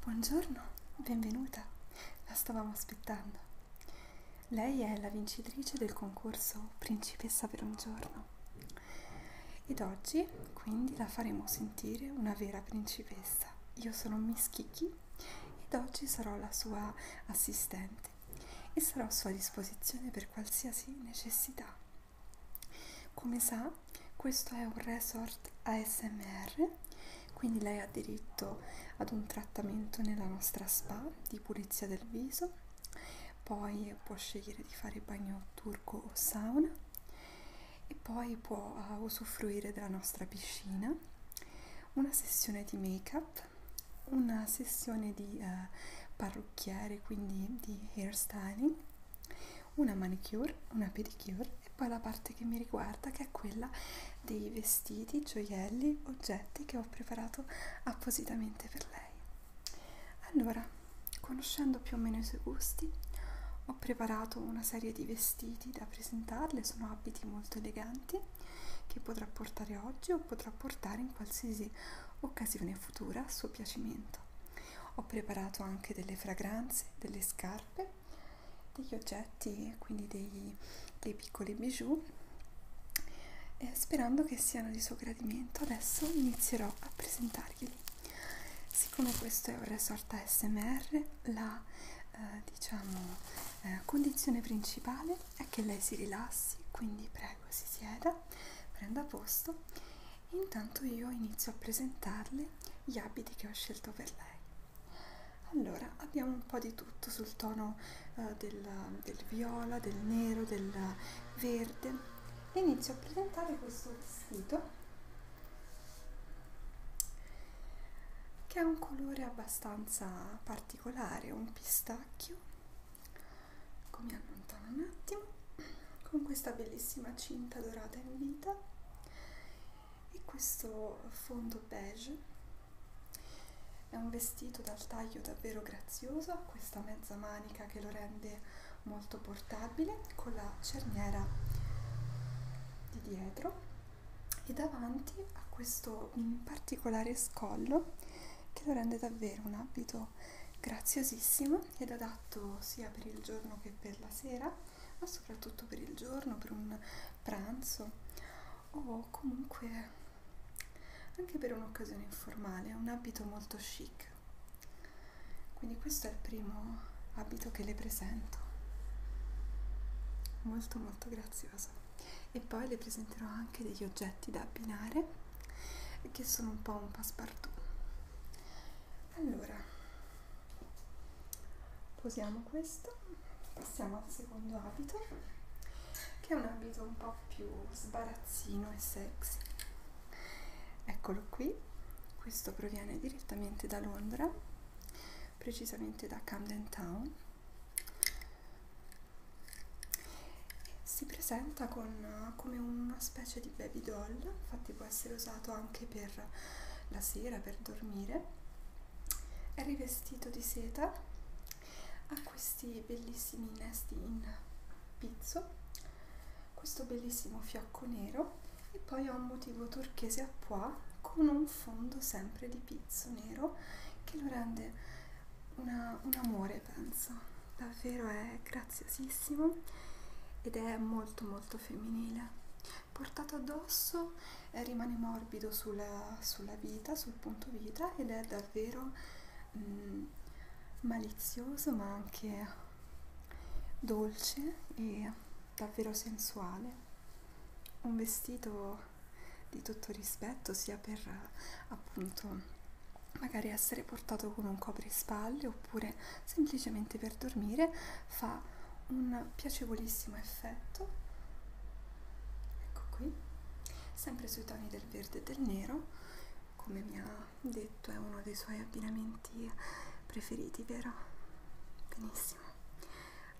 Buongiorno, benvenuta, la stavamo aspettando. Lei è la vincitrice del concorso Principessa per un giorno ed oggi quindi la faremo sentire una vera principessa. Io sono Miss Kiki ed oggi sarò la sua assistente e sarò a sua disposizione per qualsiasi necessità. Come sa, questo è un resort ASMR, quindi lei ha diritto ad un trattamento nella nostra spa di pulizia del viso, poi può scegliere di fare bagno turco o sauna e poi può uh, usufruire della nostra piscina, una sessione di make-up, una sessione di uh, parrucchiere, quindi di hair styling, una manicure, una pedicure e poi la parte che mi riguarda che è quella dei vestiti, gioielli, oggetti che ho preparato appositamente per lei. Allora, conoscendo più o meno i suoi gusti, ho preparato una serie di vestiti da presentarle, sono abiti molto eleganti che potrà portare oggi o potrà portare in qualsiasi occasione futura a suo piacimento ho preparato anche delle fragranze, delle scarpe, degli oggetti, quindi dei, dei piccoli bijou, eh, sperando che siano di suo gradimento. Adesso inizierò a presentarglieli. Siccome questo è un resort ASMR, la eh, diciamo, eh, condizione principale è che lei si rilassi, quindi prego si sieda, prenda posto intanto io inizio a presentarle gli abiti che ho scelto per lei allora abbiamo un po' di tutto sul tono eh, del, del viola del nero del verde e inizio a presentare questo vestito che ha un colore abbastanza particolare un pistacchio come allontano un attimo con questa bellissima cinta dorata in vita e questo fondo beige è un vestito dal taglio davvero grazioso ha questa mezza manica che lo rende molto portabile con la cerniera di dietro e davanti a questo mm, particolare scollo che lo rende davvero un abito vino graziosissimo ed adatto sia per il giorno che per la sera, ma soprattutto per il giorno, per un pranzo o comunque anche per un'occasione informale, è un abito molto chic. Quindi questo è il primo abito che le presento. Molto molto grazioso. E poi le presenterò anche degli oggetti da abbinare che sono un po' un passepartout allora posiamo questo passiamo al secondo abito che è un abito un po' più sbarazzino e sexy eccolo qui questo proviene direttamente da Londra precisamente da Camden Town si presenta con, come una specie di baby doll fatti può essere usato anche per la sera, per dormire. È rivestito di seta, ha questi bellissimi innesti in pizzo, questo bellissimo fiocco nero e poi ha un motivo turchese a pois con un fondo sempre di pizzo nero che lo rende una, un amore, penso davvero è graziosissimo ed è molto molto femminile portato addosso eh, rimane morbido sulla, sulla vita sul punto vita ed è davvero mh, mm, malizioso ma anche dolce e davvero sensuale un vestito di tutto rispetto sia per appunto magari essere portato con un coprispalli oppure semplicemente per dormire fa un piacevolissimo effetto ecco qui sempre sui toni del verde e del nero come mi ha detto è uno dei suoi abbinamenti preferiti vero benissimo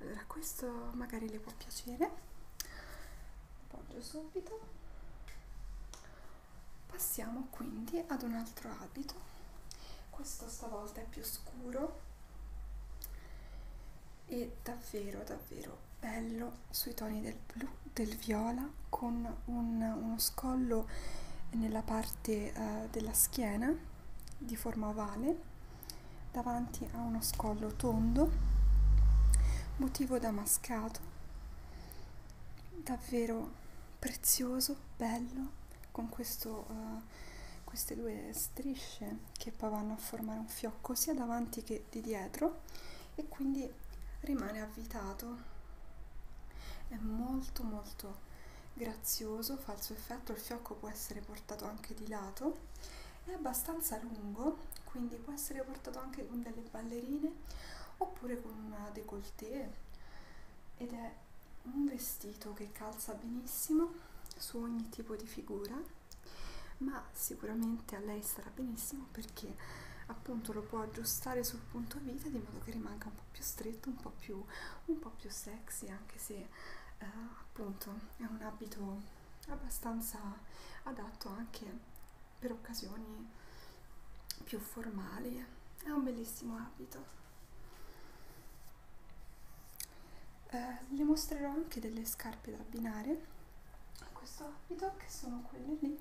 allora questo magari le può piacere lo appoggio subito passiamo quindi ad un altro abito questo stavolta è più scuro e davvero davvero bello sui toni del blu del viola con un, uno scollo nella parte uh, della schiena di forma ovale davanti a uno scollo tondo motivo damascato davvero prezioso, bello, con questo, uh, queste due strisce che poi vanno a formare un fiocco sia davanti che di dietro e quindi rimane avvitato. È molto molto grazioso, fa il suo effetto, il fiocco può essere portato anche di lato, è abbastanza lungo, quindi può essere portato anche con delle ballerine oppure con una décolleté ed è un vestito che calza benissimo su ogni tipo di figura ma sicuramente a lei sarà benissimo perché appunto lo può aggiustare sul punto vita di modo che rimanga un po' più stretto un po' più, un po più sexy anche se eh, appunto è un abito abbastanza adatto anche per occasioni più formali è un bellissimo abito eh, le mostrerò anche delle scarpe da abbinare a questo abito che sono quelle lì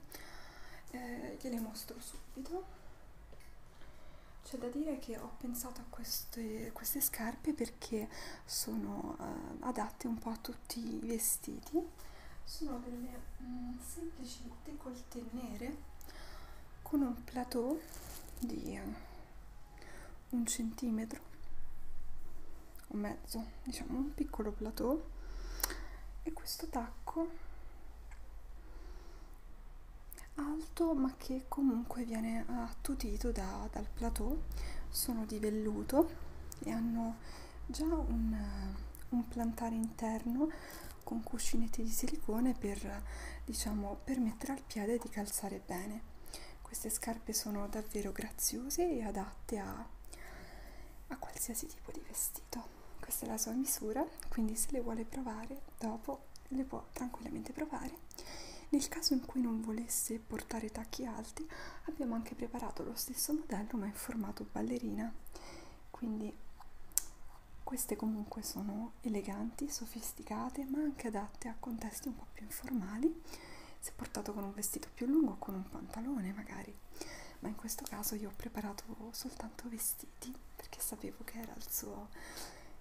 eh, gliele mostro subito c'è da dire che ho pensato a queste, queste scarpe perché sono eh, adatte un po' a tutti i vestiti sono delle mh, mm, semplici fette coltellate nere con un plateau di eh, un centimetro o mezzo diciamo un piccolo plateau e questo tacco alto ma che comunque viene attutito da, dal plateau sono di velluto e hanno già un, un plantare interno con cuscinetti di silicone per diciamo permettere al piede di calzare bene queste scarpe sono davvero graziose e adatte a, a qualsiasi tipo di vestito questa è la sua misura quindi se le vuole provare dopo le può tranquillamente provare nel caso in cui non volesse portare tacchi alti abbiamo anche preparato lo stesso modello ma in formato ballerina quindi queste comunque sono eleganti, sofisticate, ma anche adatte a contesti un po' più informali, se portato con un vestito più lungo o con un pantalone magari. Ma in questo caso io ho preparato soltanto vestiti perché sapevo che era il suo,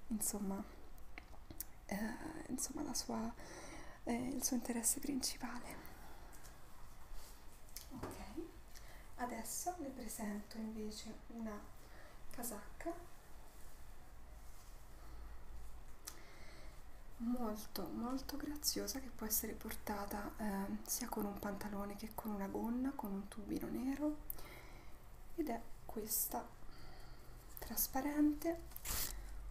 insomma, eh, insomma la sua, eh, il suo interesse principale. Ok adesso vi presento invece una casacca molto molto graziosa che può essere portata eh, sia con un pantalone che con una gonna con un tubino nero ed è questa trasparente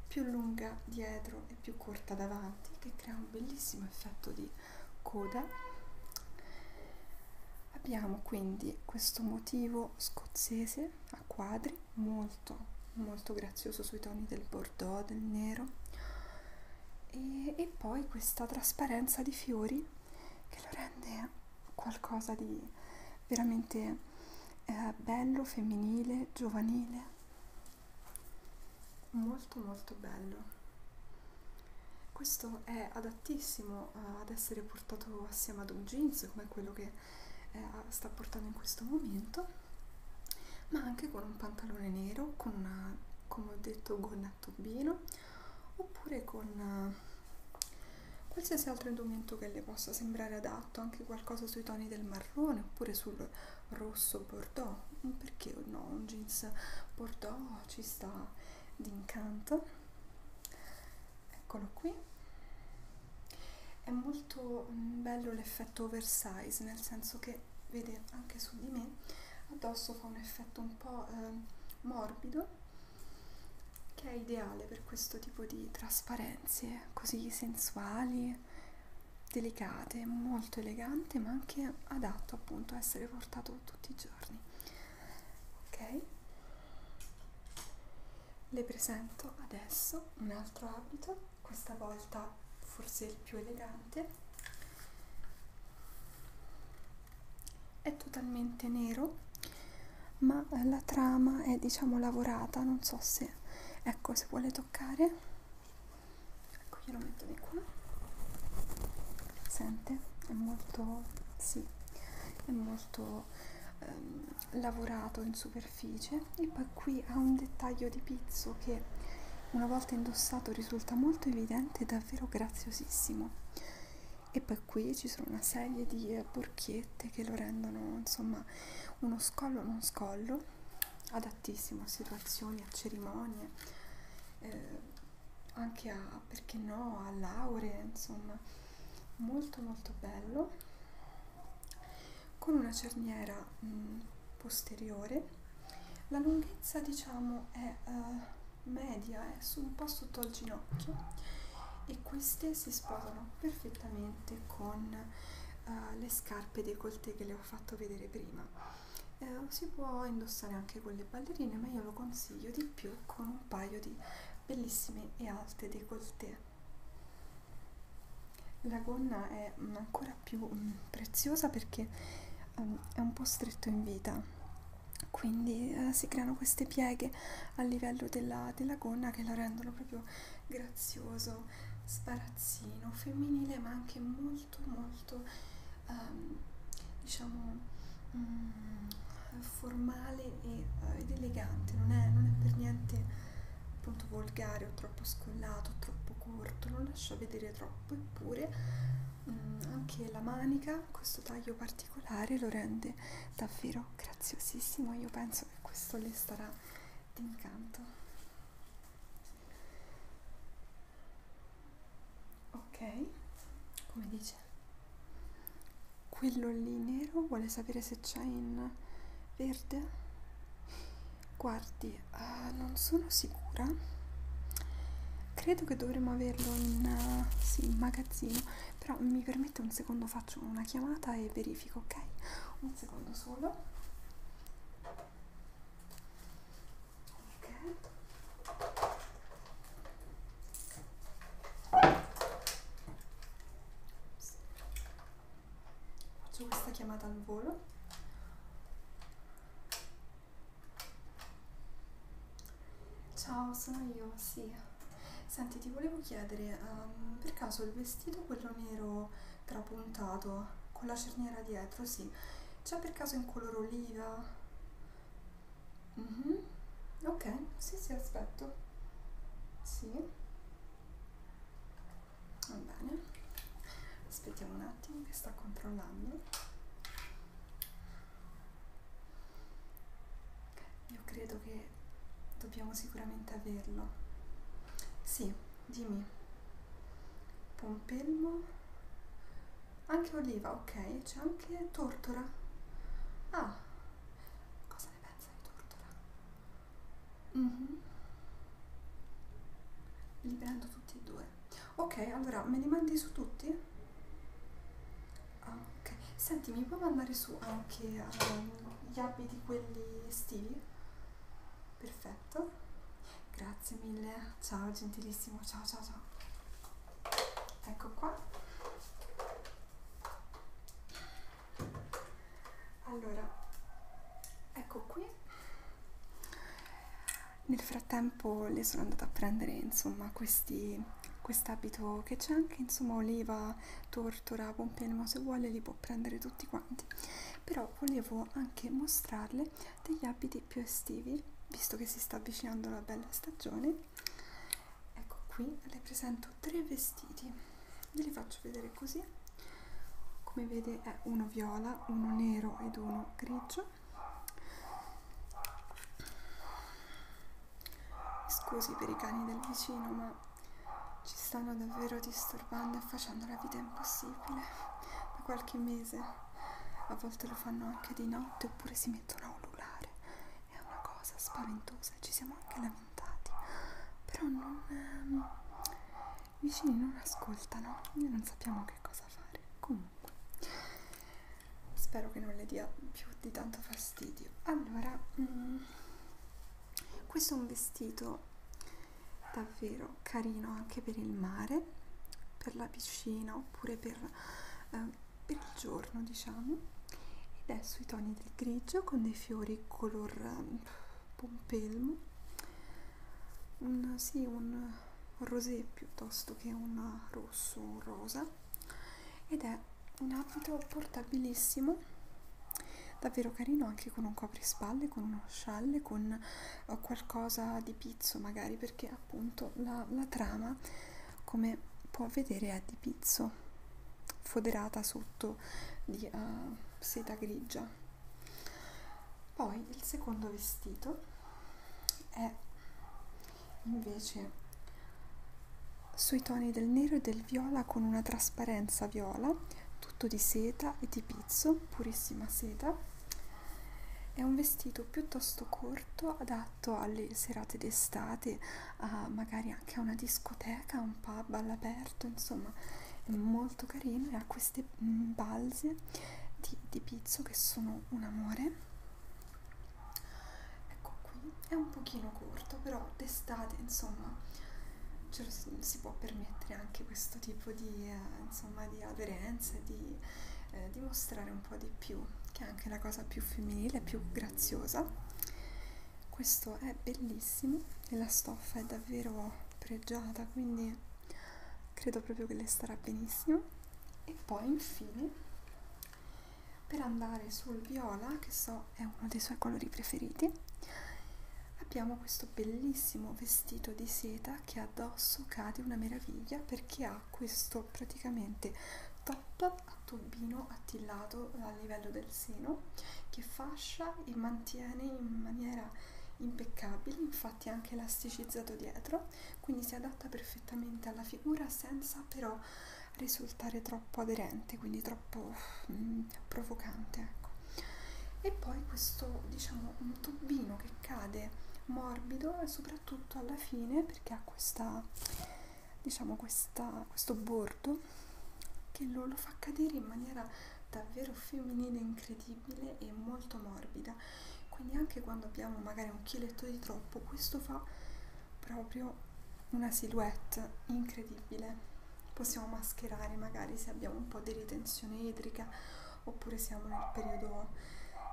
più lunga dietro e più corta davanti che crea un bellissimo effetto di coda abbiamo quindi questo motivo scozzese a quadri molto molto grazioso sui toni del bordeaux del nero e, e poi questa trasparenza di fiori che lo rende qualcosa di veramente eh, bello femminile giovanile molto molto bello questo è adattissimo eh, ad essere portato assieme ad un jeans come quello che eh, sta portando in questo momento, ma anche con un pantalone nero, con una, come ho detto, gonna a tubino, oppure con uh, qualsiasi altro indumento che le possa sembrare adatto, anche qualcosa sui toni del marrone oppure sul rosso bordeaux, perché no, un jeans bordeaux no ci sta d'incanto eccolo qui è molto mm, bello l'effetto oversize nel senso che vede anche su di me addosso fa un effetto un po' eh, morbido che è ideale per questo tipo di trasparenze così sensuali delicate molto elegante ma anche adatto appunto a essere portato tutti i giorni ok le presento adesso un altro abito questa volta forse il più elegante è totalmente nero ma la trama è diciamo lavorata non so se ecco se vuole toccare ecco glielo metto di qua sente è molto sì è molto ehm, lavorato in superficie e poi qui ha un dettaglio di pizzo che una volta indossato risulta molto evidente e davvero graziosissimo e poi qui ci sono una serie di borchiette eh, che lo rendono insomma uno scollo non scollo adattissimo a situazioni a cerimonie eh, anche a perché no, a lauree, insomma, molto molto bello, con una cerniera mh, mm, posteriore. La lunghezza diciamo è uh, media, è eh, su, un po' sotto al ginocchio e queste si sposano perfettamente con uh, le scarpe decolte che le ho fatto vedere prima eh, si può indossare anche con le ballerine ma io lo consiglio di più con un paio di bellissime e alte décolleté la gonna è ancora più mm, preziosa perché um, è un po' stretto in vita quindi uh, si creano queste pieghe a livello della, della gonna che lo rendono proprio grazioso, sbarazzino, femminile ma anche molto molto molto ehm, diciamo mm, formale e, eh, ed elegante non è, non è per niente appunto volgare o troppo scollato o troppo corto non lascia vedere troppo eppure mm, anche la manica questo taglio particolare lo rende davvero graziosissimo io penso che questo le starà d'incanto ok come dice quello lì nero vuole sapere se c'è in verde guardi uh, non sono sicura credo che dovremmo averlo in, uh, sì, in magazzino però mi permette un secondo faccio una chiamata e verifico ok un secondo solo Okay. Faccio questa chiamata al volo. Ciao, sono io, sì. Senti, ti volevo chiedere, um, per caso il vestito quello nero trapuntato con la cerniera dietro, sì c'è per caso in color oliva? Mm -hmm. Ok, sì, sì, aspetto. Sì. Va bene. Aspettiamo un attimo che sta controllando. Io credo che dobbiamo sicuramente averlo. Sì, dimmi pompelmo anche oliva ok c'è anche tortora ah cosa ne pensa di tortora mm -hmm. li prendo tutti e due ok allora me li mandi su tutti ah, ok senti mi puoi mandare su anche um, gli abiti quelli estivi perfetto perfetto grazie mille ciao gentilissimo ciao ciao ciao ecco qua allora ecco qui nel frattempo le sono andata a prendere insomma questi quest'abito che c'è anche insomma oliva tortora pompielmo se vuole li può prendere tutti quanti però volevo anche mostrarle degli abiti più estivi visto che si sta avvicinando la bella stagione ecco qui le presento tre vestiti ve li faccio vedere così come vede è uno viola uno nero ed uno grigio scusi per i cani del vicino ma ci stanno davvero disturbando e facendo la vita impossibile da qualche mese a volte lo fanno anche di notte oppure si mettono a ululare è una cosa spaventosa ci siamo anche lamentati però non ehm, i vicini non ascoltano noi non sappiamo che cosa fare comunque spero che non le dia più di tanto fastidio allora mm, questo è un vestito davvero carino anche per il mare, per la piscina oppure per, eh, per il giorno diciamo ed è sui toni del grigio con dei fiori color pompelmo ehm, un, sì, un rosé piuttosto che un rosso un rosa ed è un abito portabilissimo davvero carino anche con un coprispalle con uno scialle con o qualcosa di pizzo magari perché appunto la, la trama come può vedere è di pizzo foderata sotto di uh, seta grigia poi il secondo vestito è invece sui toni del nero e del viola con una trasparenza viola tutto di seta e di pizzo, purissima seta. È un vestito piuttosto corto, adatto alle serate d'estate, a magari anche a una discoteca, un pub all'aperto, insomma è molto carino e ha queste mm, balze di, di pizzo che sono un amore. Ecco qui, è un pochino corto, però d'estate insomma ce lo si, si può permettere anche questo tipo di, uh, insomma di aderenze, di eh, dimostrare un po' di più, che è anche la cosa più femminile, più graziosa. Questo è bellissimo e la stoffa è davvero pregiata, quindi credo proprio che le starà benissimo. E poi infine per andare sul viola, che so è uno dei suoi colori preferiti, abbiamo questo bellissimo vestito di seta che addosso cade una meraviglia perché ha questo praticamente top a tobbino attillato a livello del seno che fascia e mantiene in maniera impeccabile infatti è anche elasticizzato dietro quindi si adatta perfettamente alla figura senza però risultare troppo aderente quindi troppo mm, provocante ecco e poi questo diciamo un tubino che cade morbido e soprattutto alla fine perché ha questa diciamo questa, questo bordo che lo, lo fa cadere in maniera davvero femminile incredibile e molto morbida quindi anche quando abbiamo magari un chiletto di troppo questo fa proprio una silhouette incredibile possiamo mascherare magari se abbiamo un po' di ritenzione idrica oppure siamo nel periodo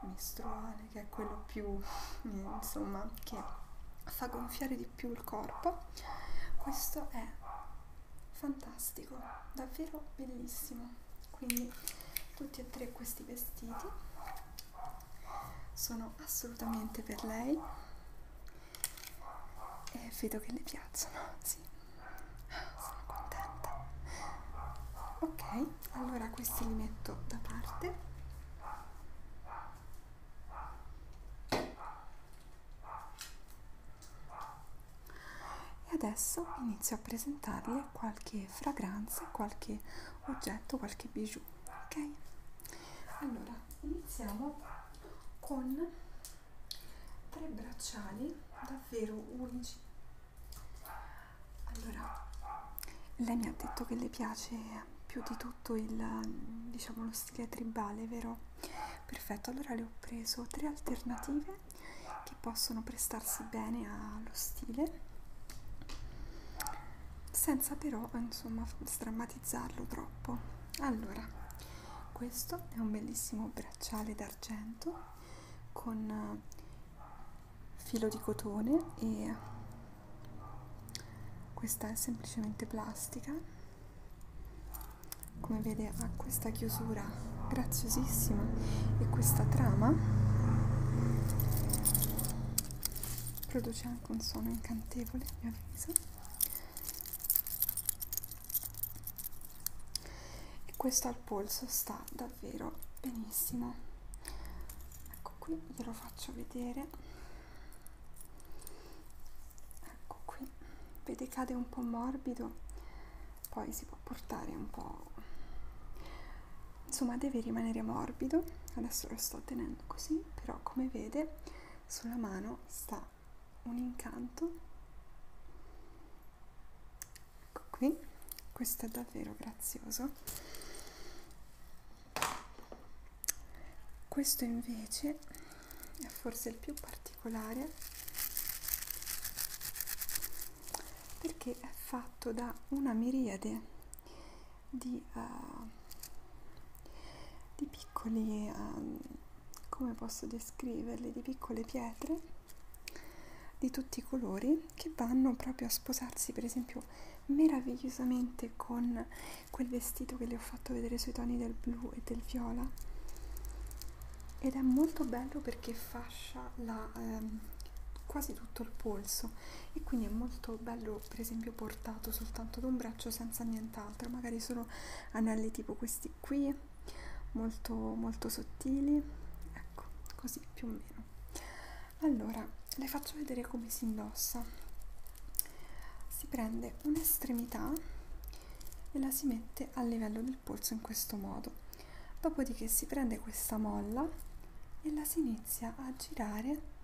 mestruale che è quello più eh, insomma che fa gonfiare di più il corpo questo è fantastico davvero bellissimo quindi tutti e tre questi vestiti sono assolutamente per lei e vedo che le piacciono sì sono contenta. Ok, allora questi li metto da parte. E adesso inizio a presentarle qualche fragranza, qualche oggetto, qualche bijou. Ok? Allora, iniziamo con tre bracciali davvero unici allora lei mi ha detto che le piace più di tutto il diciamo lo stile tribale vero perfetto allora le ho preso tre alternative che possono prestarsi bene allo stile senza però insomma strammatizzarlo troppo allora questo è un bellissimo bracciale da con eh, filo di cotone e questa è semplicemente plastica come vede ha questa chiusura graziosissima e questa trama produce anche un suono incantevole a mio avviso e questo al polso sta davvero benissimo ecco qui glielo faccio vedere ecco qui vede cade un po' morbido poi si può portare un po' insomma deve rimanere morbido adesso lo sto tenendo così però come vede sulla mano sta un incanto ecco qui questo è davvero grazioso questo invece è forse il più particolare perché è fatto da una miriade di, uh, di piccoli um, come posso descriverle, di piccole pietre di tutti i colori che vanno proprio a sposarsi per esempio meravigliosamente con quel vestito che le ho fatto vedere sui toni del blu e del viola ed è molto bello perché fascia la, ehm, quasi tutto il polso e quindi è molto bello per esempio portato soltanto da un braccio senza nient'altro magari solo anelli tipo questi qui molto molto sottili ecco così più o meno allora le faccio vedere come si indossa si prende un'estremità e la si mette a livello del polso in questo modo dopodiché si prende questa molla e la si inizia a girare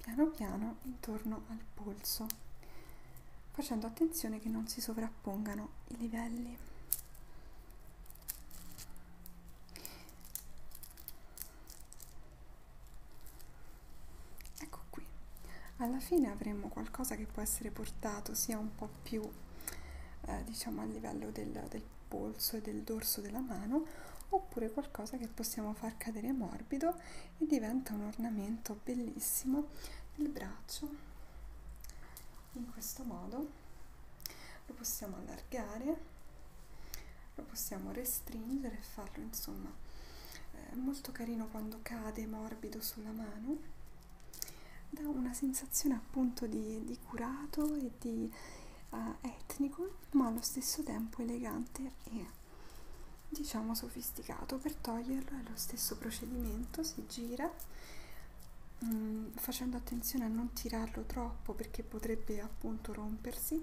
piano piano intorno al polso basso, facendo attenzione che non si sovrappongano i livelli. Ecco qui, alla fine avremo qualcosa che può essere portato sia un po' più eh, diciamo a livello del, del polso e del dorso della mano oppure qualcosa che possiamo far cadere morbido e diventa un ornamento bellissimo del braccio in questo modo lo possiamo allargare lo possiamo restringere e farlo insomma è eh, molto carino quando cade morbido sulla mano dà una sensazione appunto di, di curato e di uh, etnico ma allo stesso tempo elegante e diciamo sof sofisticato per toglierlo è lo stesso procedimento si gira mh, mm, facendo attenzione a non tirarlo troppo perché potrebbe appunto rompersi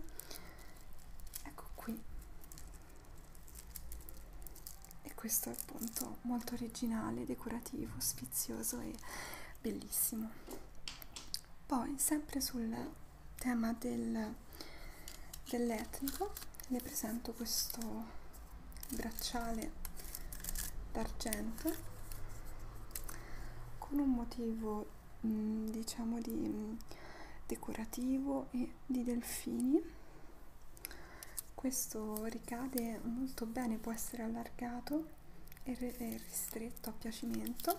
ecco qui e questo è appunto molto originale decorativo sfizioso e bellissimo poi sempre sul tema del dell'etnico le presento questo bracciale d'argento con un motivo mh, mm, diciamo di mh, mm, decorativo e di delfini questo ricade molto bene può essere allargato e ristretto a piacimento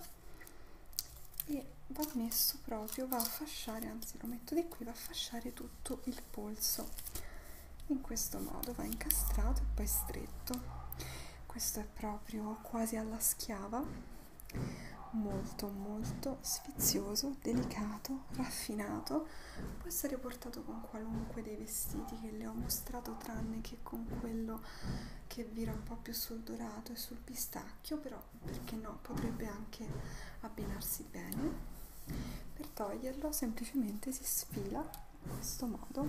e va messo proprio va a fasciare anzi lo metto di qui va a fasciare tutto tutto il polso in questo modo va incastrato e poi stretto questo è proprio quasi alla schiava molto molto sfizioso delicato raffinato può essere portato con qualunque dei vestiti che le ho mostrato tranne che con quello che vira un po più sul dorato e sul pistacchio però perché no potrebbe anche abbinarsi messi bene per toglierlo semplicemente si sfila in questo modo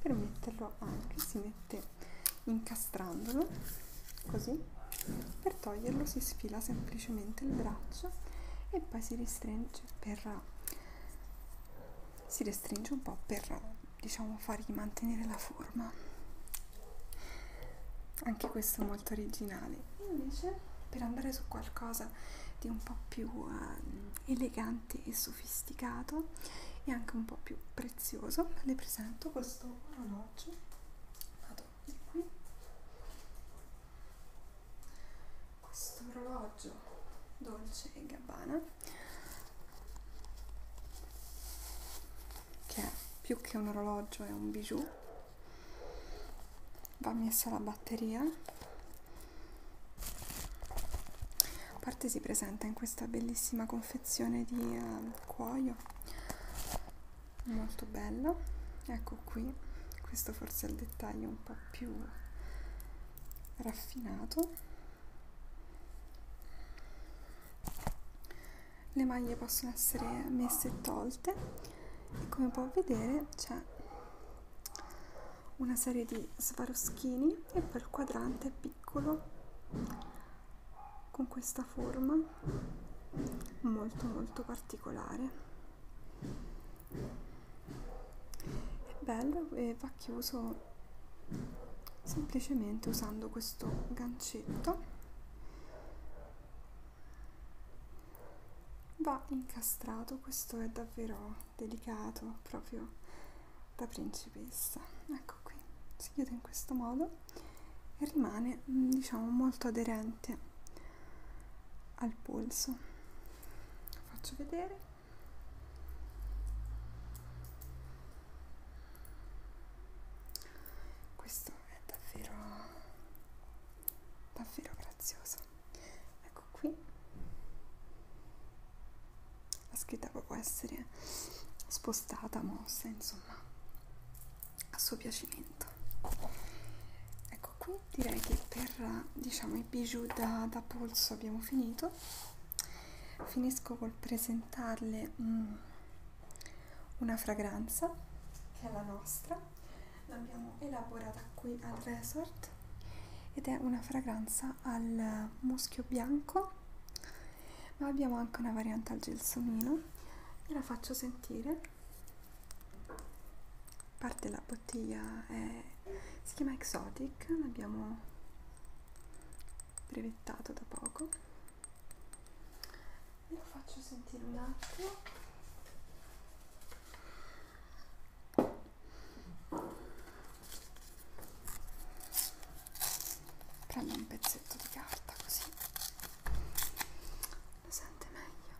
per metterlo anche si mette incastrandolo così per toglierlo si sfila semplicemente il braccio e poi si restringe per si restringe un po' per diciamo fargli mantenere la forma anche questo è molto originale invece per andare su qualcosa di un po' più eh, elegante e sofisticato e anche un po' più prezioso le presento questo orologio vado di qui questo orologio dolce e gabbana che è più che un orologio è un bijou va messa la batteria a parte si presenta in questa bellissima confezione di uh, cuoio molto bella ecco qui questo forse è il dettaglio un po' più raffinato le maglie possono essere messe e tolte come puoi vedere c'è una serie di svaroschini e poi il quadrante piccolo con questa forma molto molto particolare è bello e va chiuso semplicemente usando questo gancetto va incastrato questo è davvero delicato proprio da principessa ecco qui si chiude in questo modo e rimane diciamo molto aderente al polso Lo faccio vedere questo è davvero davvero graziosa ecco qui la scritta può essere spostata mossa insomma a suo piacimento ecco qui direi che per diciamo i bijou da, da polso abbiamo finito finisco col presentarle mm, una fragranza che è la nostra l'abbiamo elaborata qui al resort ed è una fragranza al muschio bianco ma abbiamo anche una variante al gelsomino ve la faccio sentire parte della bottiglia è, si chiama Exotic l'abbiamo brevettato da poco ve lo faccio sentire un attimo prendo un pezzetto di carta così lo sente meglio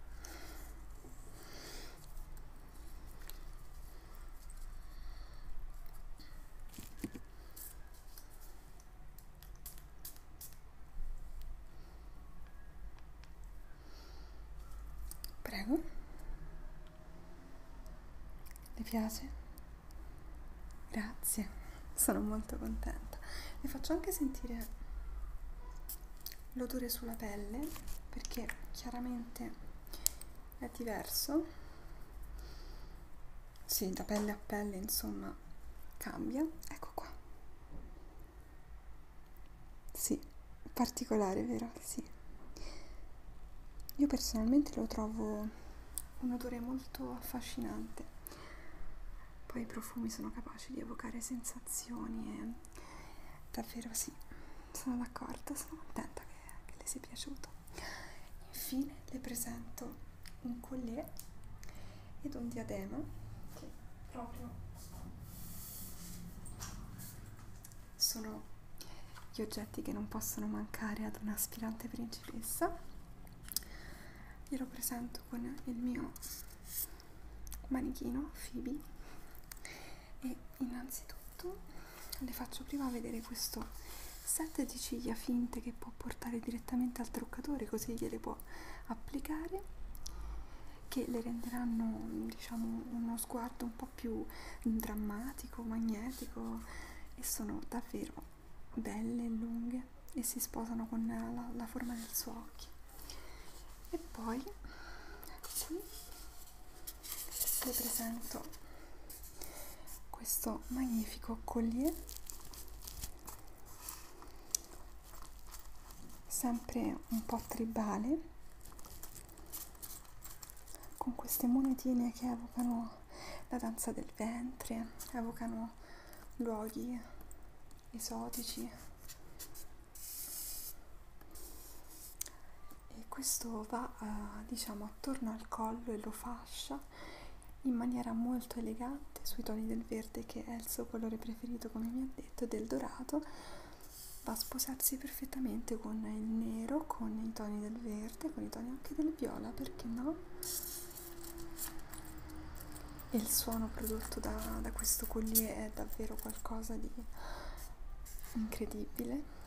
Prego. Le piace? Grazie, sono molto contenta. Le faccio anche sentire l'odore sulla pelle perché chiaramente è diverso. Sì, da pelle a pelle, insomma, cambia. Ecco qua. Sì, particolare, vero? Sì. Io personalmente lo trovo un odore molto affascinante. Poi i profumi sono capaci di evocare sensazioni e davvero sì, sono d'accordo, sono contenta che, che le sia piaciuto. Infine le presento un collier ed un diadema. Sì, proprio. Sono gli oggetti che non possono mancare ad un'aspirante principessa. Glielo presento con il mio manichino Phoebe e innanzitutto le faccio prima vedere questo set di ciglia finte che può portare direttamente al truccatore così gliele può applicare che le renderanno diciamo uno sguardo un po' più drammatico, magnetico e sono davvero belle e lunghe e si sposano con la, la forma del suo occhio e poi qui vi presento questo magnifico collier sempre un po' tribale con queste monetine che evocano la danza del ventre evocano luoghi esotici e questo va eh, diciamo attorno al collo e lo fascia in maniera molto elegante brillante sui toni del verde che è il suo colore preferito come mi ha detto, del dorato, va a sposarsi perfettamente con il nero, con i toni del verde, con i toni anche del viola, perché no? E il suono prodotto da, da questo collier è davvero qualcosa di incredibile.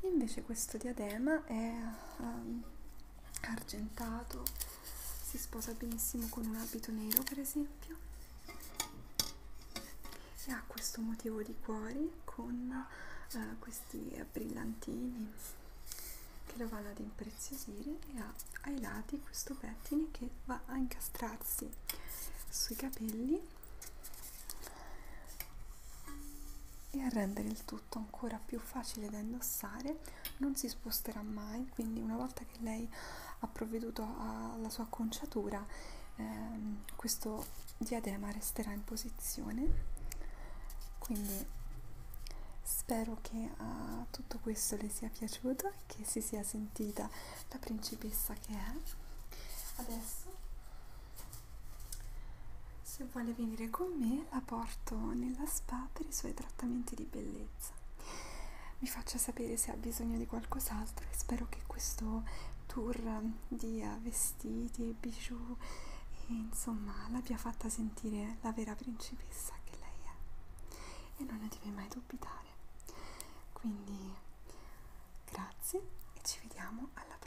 Invece questo diadema è um, argentato si sposa benissimo con un abito nero per esempio e ha questo motivo di cuori con uh, questi brillantini che lo vanno ad impreziosire e ha ai lati questo pettine che va a incastrarsi sui capelli e a rendere il, tu tutto ancora più facile da indossare, non si sposterà mai, quindi una volta che lei ha provveduto alla sua acconciatura, ehm, questo diadema resterà in posizione. Quindi spero che a ah, tutto questo le sia piaciuto e che si sia sentita la principessa che è. Adesso se vuole venire con me la porto nella spa per i suoi trattamenti di bellezza. Mi faccia sapere se ha bisogno di qualcos'altro e spero che questo tour di vestiti e bijou e insomma l'abbia fatta sentire la vera principessa che lei è e non ne deve mai dubitare. Quindi grazie e ci vediamo alla prossima.